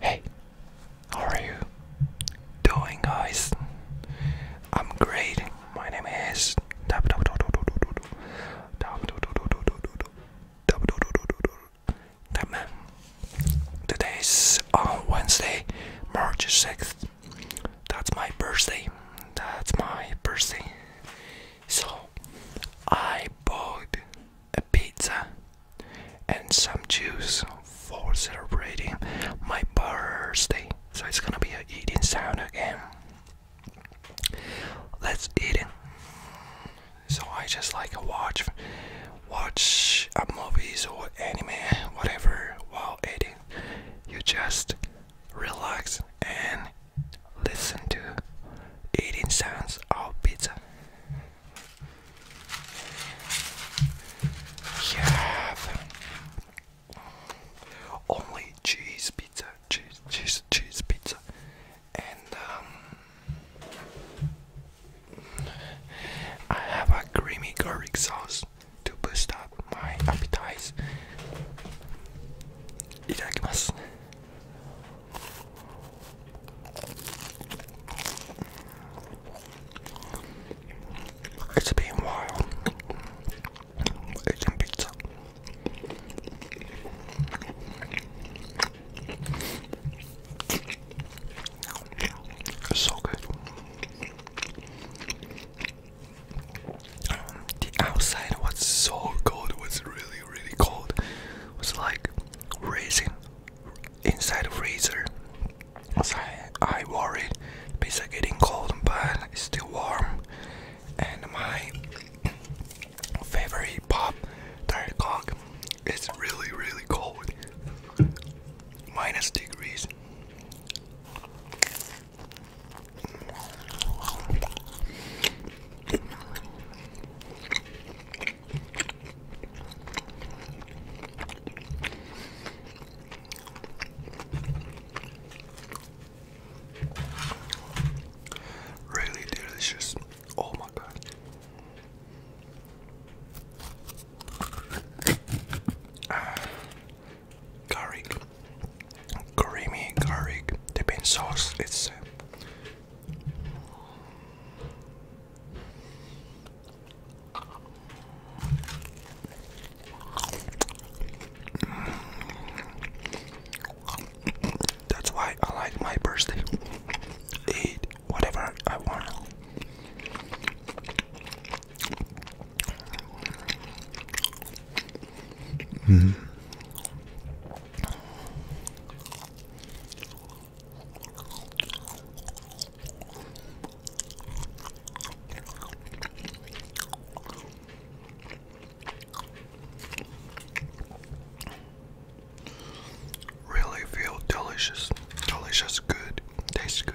Hey, how are you doing, guys? I'm great. My name is Tapman. Today is on uh, Wednesday, March 6th. That's my birthday. That's my birthday. So I bought a pizza and some juice for celebrating my birthday. So it's gonna be a eating sound again. Let's eat So I just like to watch, watch movies or anime, whatever, while eating. You just relax and Listen to eating sounds of pizza. You have only cheese pizza, cheese, cheese, cheese pizza, and um, I have a creamy garlic sauce to boost up my appetite. いただきます。it's has been a while. Eating pizza. It's so good. Um, the outside was so cold, it was really really really cold. It's like racing inside a freezer. So I, worry worried because it's getting cold but it's still warm. And my favorite pop diet is really really cold. Minus degrees. Really delicious. Oh my god. Uh, garlic, creamy garlic dipping sauce. It's uh, that's why I like my birthday. Eat whatever I want. -hmm. Really feel delicious, delicious, good, tastes good.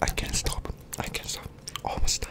I can't stop. I can't stop. Almost done.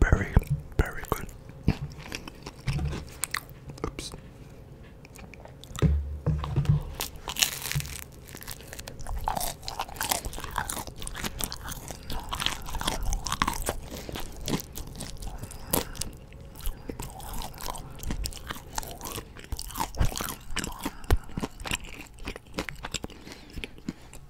Very, very good. Oops.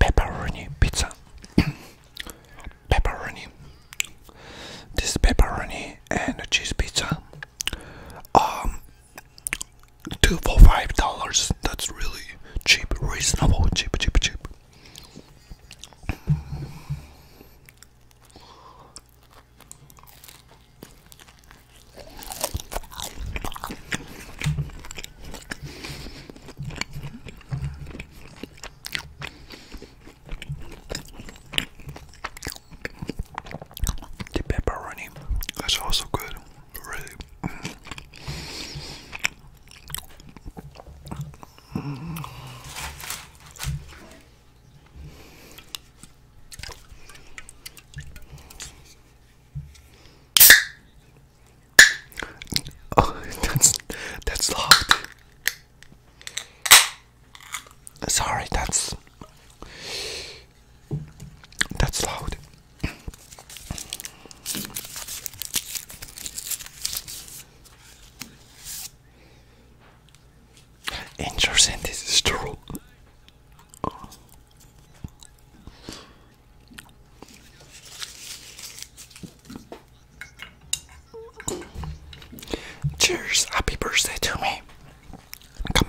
Pepperoni pizza. pepperoni. This pepperoni and cheese pizza. Um, two for five dollars. That's really cheap, reasonable, cheap, cheap, cheap. The pepperoni is also good, really. Oh, that's that's loud. Sorry, that's that's loud. And your is true. Cheers, happy birthday to me. Come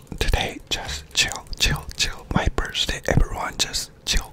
today just chill chill chill my birthday everyone just chill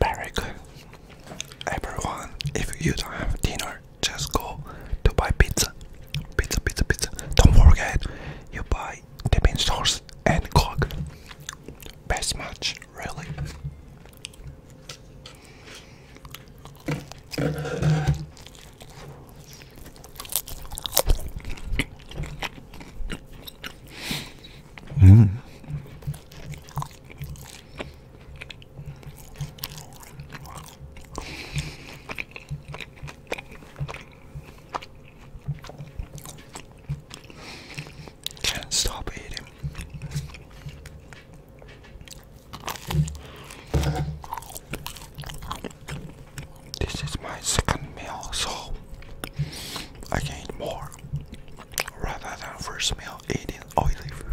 Very good. Everyone, if you don't have dinner, just go to buy pizza. Pizza, pizza, pizza. Don't forget, you buy dipping sauce and coke. Best match. Really? Mm. Can't stop eating. This is my second meal, so I can eat more rather than first meal eating oily food.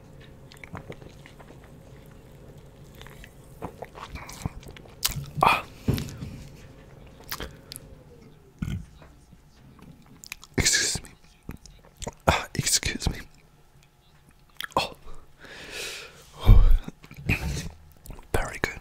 Ah. Excuse me. Ah, excuse me. Oh. oh. Very good.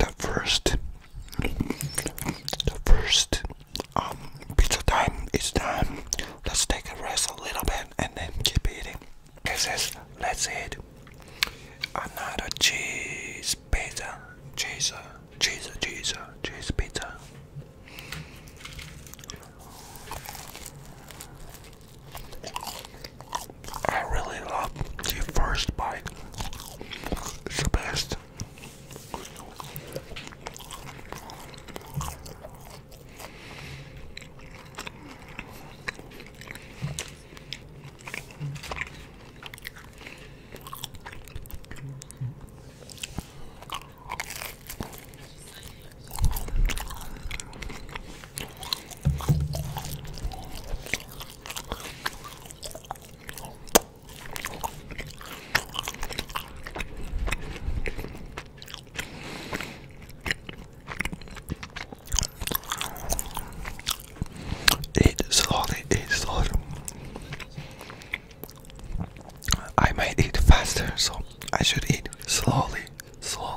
The first, the first um, pizza time is done. Let's take a rest a little bit and then keep eating. Okay, says, let's eat another cheese pizza. Cheese, cheese, cheese, cheese pizza. I really love the first bite. It's the best. Eat slowly, eat slowly. I might eat faster, so I should eat slowly, slowly.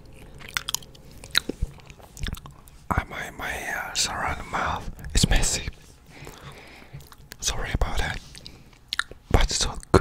I my my around uh, the mouth It's messy. Sorry about that, but it's all good.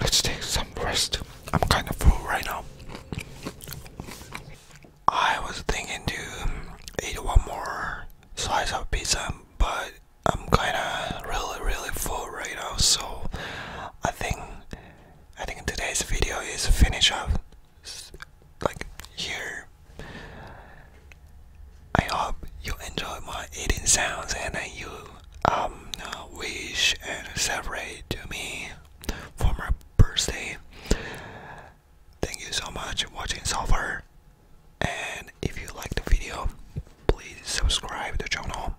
Let's take some rest. I'm kind of full right now. I was thinking to eat one more slice of pizza, but I'm kind of really, really full right now. So I think I think today's video is finish up like here. I hope you enjoy my eating sounds and you um uh, wish and celebrate to me for my birthday. Thank you so much for watching so far. And if you like the video, please subscribe the channel,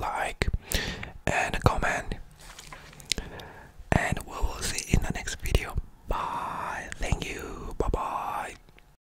like, and comment. And we will see in the next video. Bye. Thank you. Bye bye.